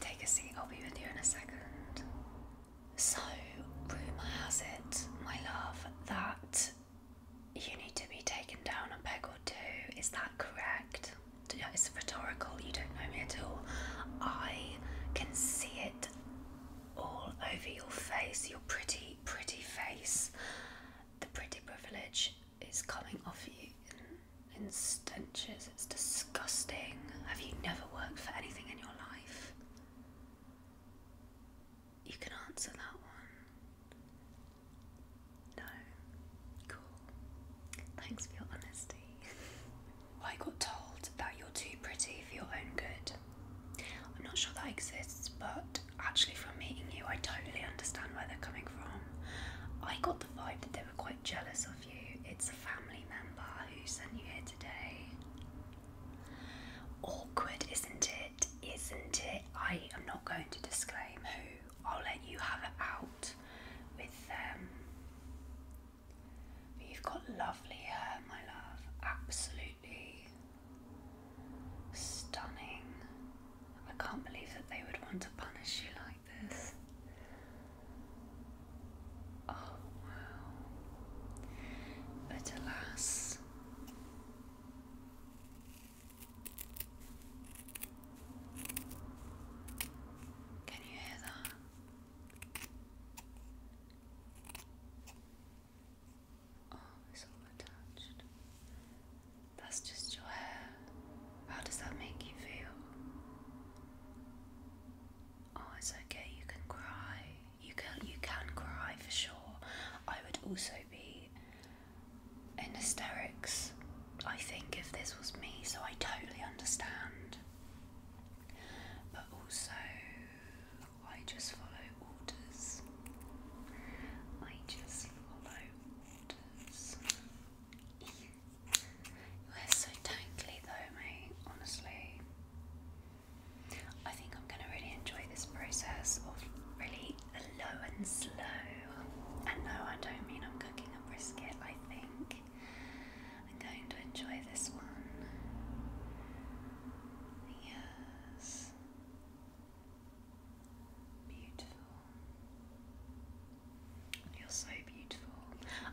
take a seat, I'll be with you in a second. So, rumour has it, my love, that you need to be taken down a peg or two. Is that correct? It's rhetorical, you don't know me at all. I can see it all over your face, your pretty, pretty face. The pretty privilege is coming off you in stenches. It's disgusting. Have you never worked for anything in your life? You can answer that one. No. Cool. Thanks for your honesty. I got told that you're too pretty for your own good. I'm not sure that exists, but actually, from meeting you, I totally understand where they're coming from. I got the vibe that they were quite jealous of it's a family member who sent you here today. Awkward, isn't it? Isn't it? I am not going to disclaim who. I'll let you have it out with them. Um, but you've got lovely hair, my love. Absolutely stunning. I can't believe that they would want to punish you like this. Oh wow. But alas, can you hear that? Oh, it's all attached. That's just your how does that make you feel? Oh, it's okay. You can cry. You can you can cry for sure. I would also be in hysterics. I think if this was me, so I totally understand. But also, I just follow orders. I just follow orders. Your hair's so tangly though, mate, honestly. I think I'm going to really enjoy this process of really low and slow. And no, I don't mean I'm cooking a brisket, I think. I'm going to enjoy this one. Yes. Beautiful. You're so beautiful.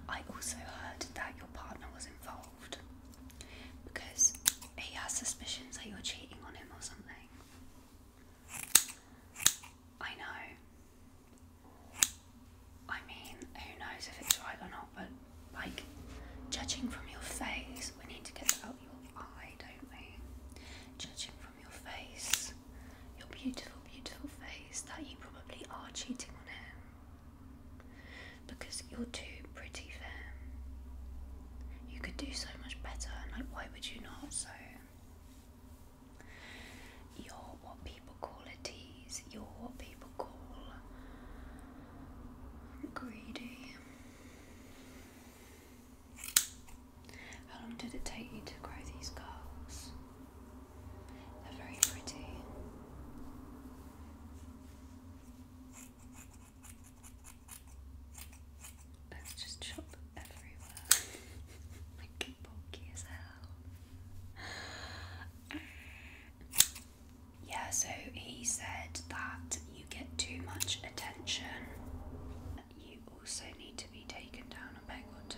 I also heard that your partner was involved because he has suspicions that you're cheating on him or something. I know. I mean, who knows if it's right or not, but like, judging from your face, we need to get out your eye, don't we? Judging from your face, your beautiful, beautiful face, that you probably are cheating on him because you're too pretty for him. You could do so much better, and like, why would you not? So, you're what people call a tease, you're what people call greedy. How long did it take you to grow these curls? They're very pretty. Let's just chop everywhere. like bulky as hell. Yeah, so he said that you get too much attention you also need to be taken down a peg or two.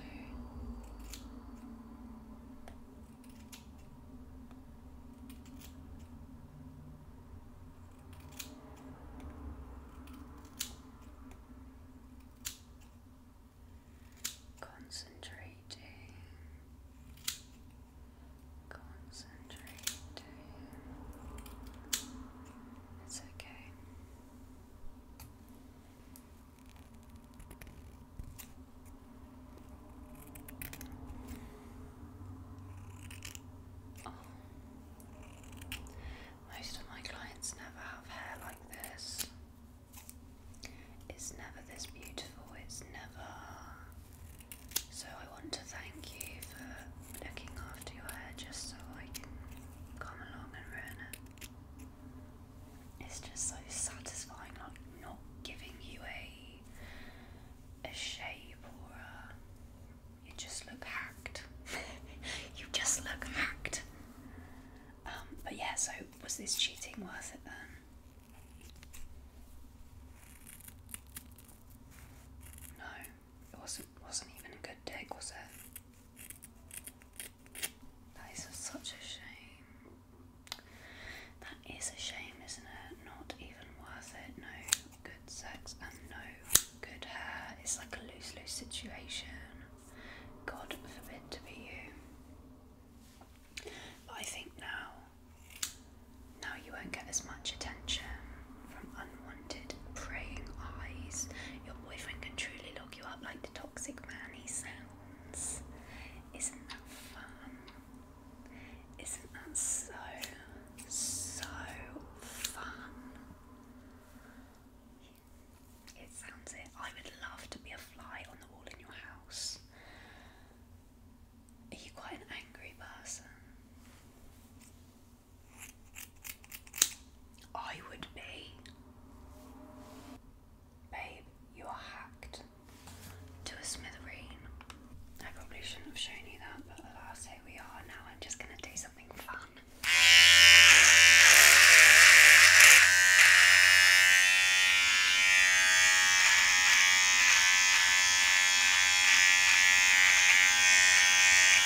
Concentrating, concentrating. It's okay. Oh. Most of my clients never have hair like this. It's never this beautiful, it's never. So, I want to thank you for looking after your hair just so I can come along and ruin it. It's just so satisfying, like not giving you a a shape or a. You just look hacked. you just look hacked. Um, but yeah, so was this cheating worth it then? No, it wasn't. Wasn't even a good dig, was it? That is such a shame. That is a shame, isn't it? Not even worth it. No good sex and no good hair. It's like a lose lose situation. God forbid to be you. But I think now, now you won't get as much attention from unwanted praying eyes. Your boyfriend can truly you up like the toxic man he sounds. Isn't that fun? Isn't that so, so fun? It sounds it. I would love to be a fly on the wall in your house. Are you quite an angry person? I would be. Babe, you are hacked to a smithereen. I probably shouldn't have shown you that, but the last day we are. Now I'm just going to do something fun.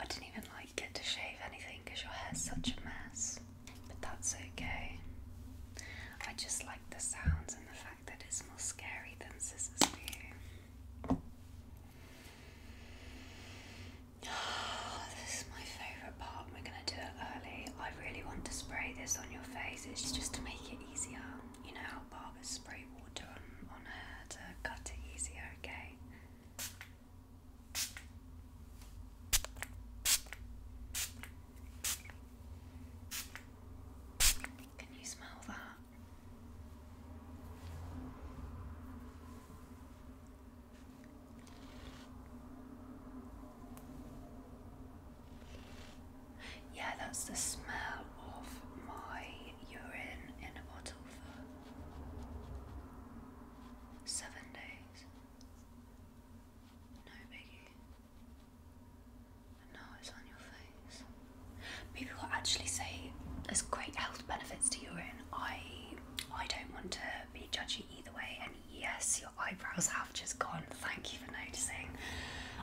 I didn't even like it to shave anything because your hair's such a mess. But that's okay. I just like the sounds and the fact that it's more scary than scissors for this is my favourite part. We're going to do it early. I really want to spray this on your face. It's just to make it easier. You know how barbers spray water on hair to cut it easier, okay? Can you smell that? Yeah, that's the smell of my urine in a bottle for seven days. No, Biggie. No, it's on your face. Maybe will actually say there's great health benefits to urine. I I don't want to be judgy either way. And yes, your eyebrows have just gone. Thank you for noticing.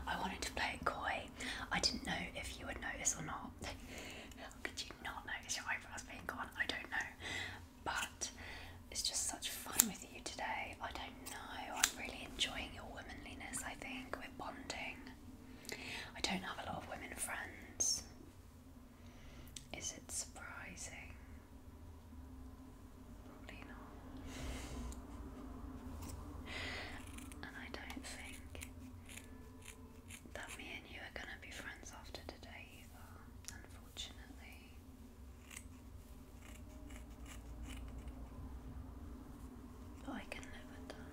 I wanted to play it coy. I didn't know if you would notice or not. could you not notice your eyebrows being gone? I don't know but it's just such fun with you today. I don't know, I'm really enjoying your womanliness, I think. We're bonding. I don't have a lot of women friends. Is it surprising? Probably not. And I don't think that me and you are gonna be friends after today unfortunately. But I can live with that.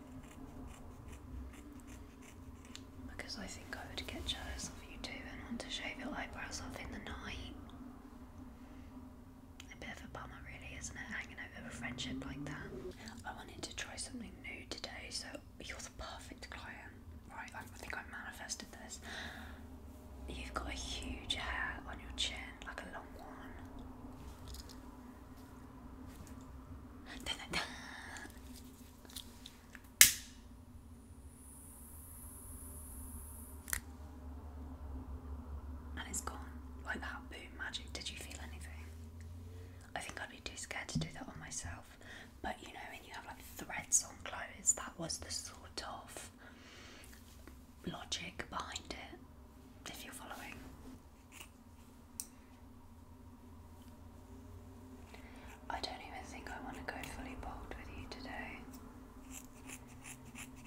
Because I think I would get jealous of you too and want to shave your eyebrows off in the night. A bit of a bummer, really, isn't it? Hanging over a friendship like that. I wanted to try something new today, so you're the perfect client, right? I think I manifested this. You've got a huge hair on your chin, like a long one. And it's gone. Like that, boom, magic. Did you feel anything? I think I'd be too scared to do that on myself. But you know, when you have like threads on clothes, that was the sort of logic behind it, if you're following. I don't even think I want to go fully bold with you today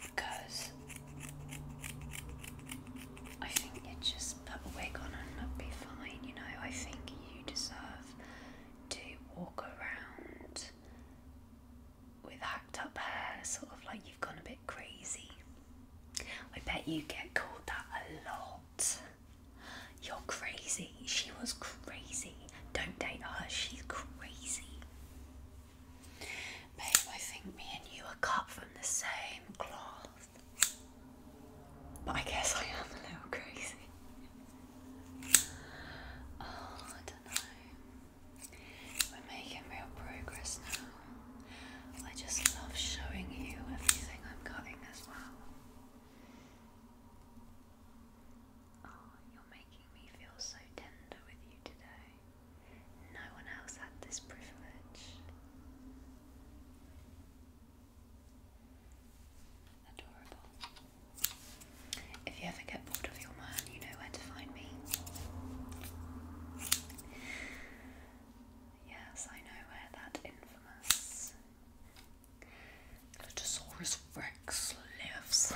because I think you just put a wig on and it'll be fine, you know. I think you deserve to walk around with hacked up hair, sort of like you've gone a bit crazy. I bet you get called that a lot. You're crazy. She was crazy. Don't date her. She's crazy. Babe, I think me and you are cut from the same cloth. But I guess I am a little crazy. Oh, I don't know. We're making real progress now. I just love showing you everything I'm cutting as well. Oh, you're making me feel so tender with you today. No one else had this privilege. If you ever get bored of your man, you know where to find me. Yes, I know where that infamous Glittosaurus Rex lives.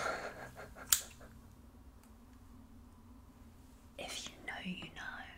if you know, you know.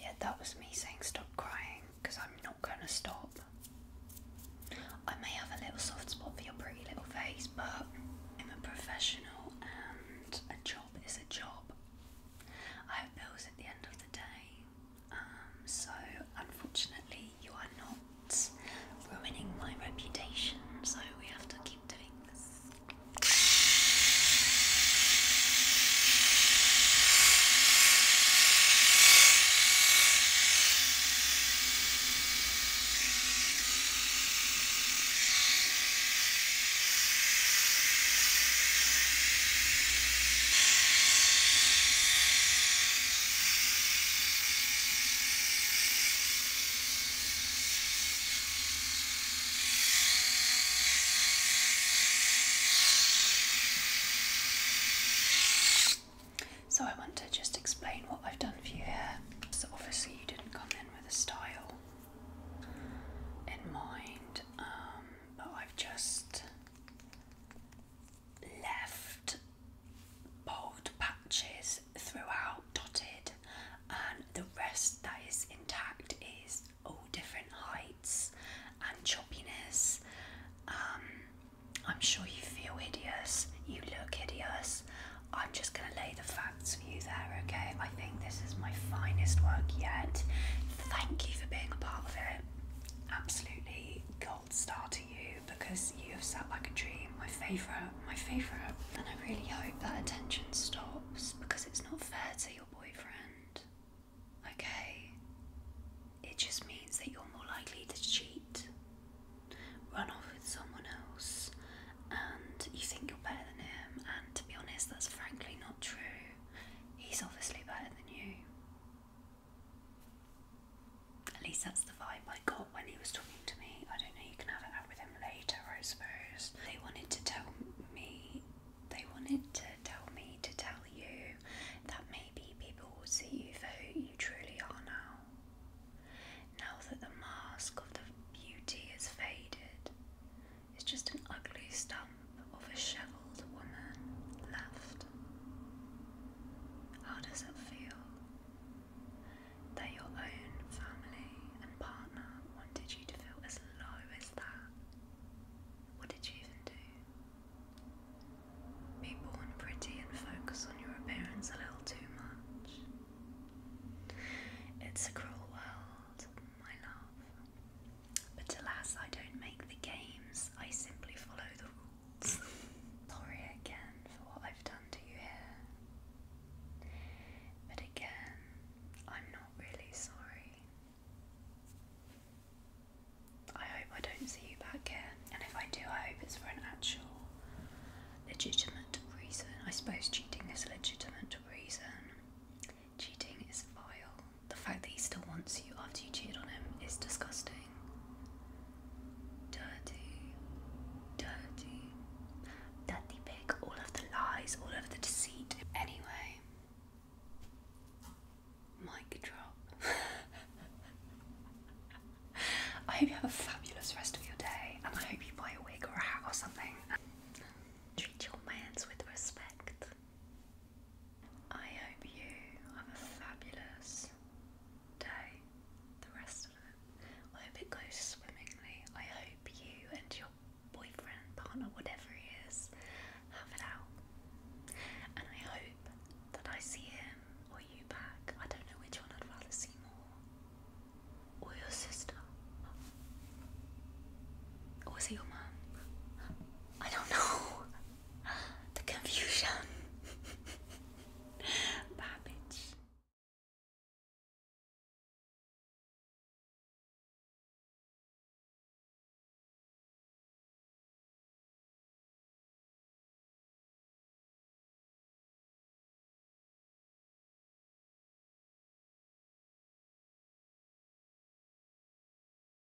Yeah, that was me saying stop crying because I'm not going to stop. I may have a little soft spot for your pretty little face, but I'm a professional and a job is a job. I have bills at the end of the day. Um, so, unfortunately, you are not ruining my reputation, so we have to keep doing this. So I want to just explain what I've done for you here. So obviously you didn't come in with a style in mind, um, but I've just left bold patches throughout dotted and the rest that is intact is all different heights and choppiness. Um, I'm sure you feel hideous, you look hideous. I'm just going to lay the facts for you there, okay? I think this is my finest work yet. Thank you for being a part of it. Absolutely star to you because you have sat like a dream, my favourite, my favourite. And I really hope that attention stops because it's not fair to your boyfriend. Okay? It just means that you're more likely to cheat, run off with someone else, and you think you're better than him. And to be honest, that's frankly not true. He's obviously better than you. At least that's the vibe I got when he was talking to me. I don't know, you can have it out with him later, I suppose. They wanted to tell me, they wanted to tell me to tell you that maybe people will see you for who you truly are now. Now that the mask of the beauty has faded, it's just an ugly stump of a shriveled woman left. How does it feel that your own family and partner wanted you to feel as low as that? What did you even do? Be born pretty and focus on your appearance a little too much. It's a cruel world, my love. But alas, I don't make the games, I simply follow the rules. Sorry again for what I've done to you here. But again, I'm not really sorry. I hope I don't see you back here, and if I do, I hope it's for an actual legitimate reason. I suppose cheating is a legitimate reason. Cheating is vile. The fact that he still wants you after you cheated on him is disgusting. Dirty, dirty, dirty pig, all of the lies, all of the deceit. Anyway, mic drop. I hope you have a fabulous rest of your day, and I hope you buy a wig or a hat or something. Treat your mans with respect. I hope you have a fabulous day, the rest of it. I hope it goes swimmingly. I hope you and your boyfriend, partner, whatever he is, have it out. And I hope that I see him or you back. I don't know which one I'd rather see more. Or your sister. Or was your mum? I don't know. the confusion. Bye,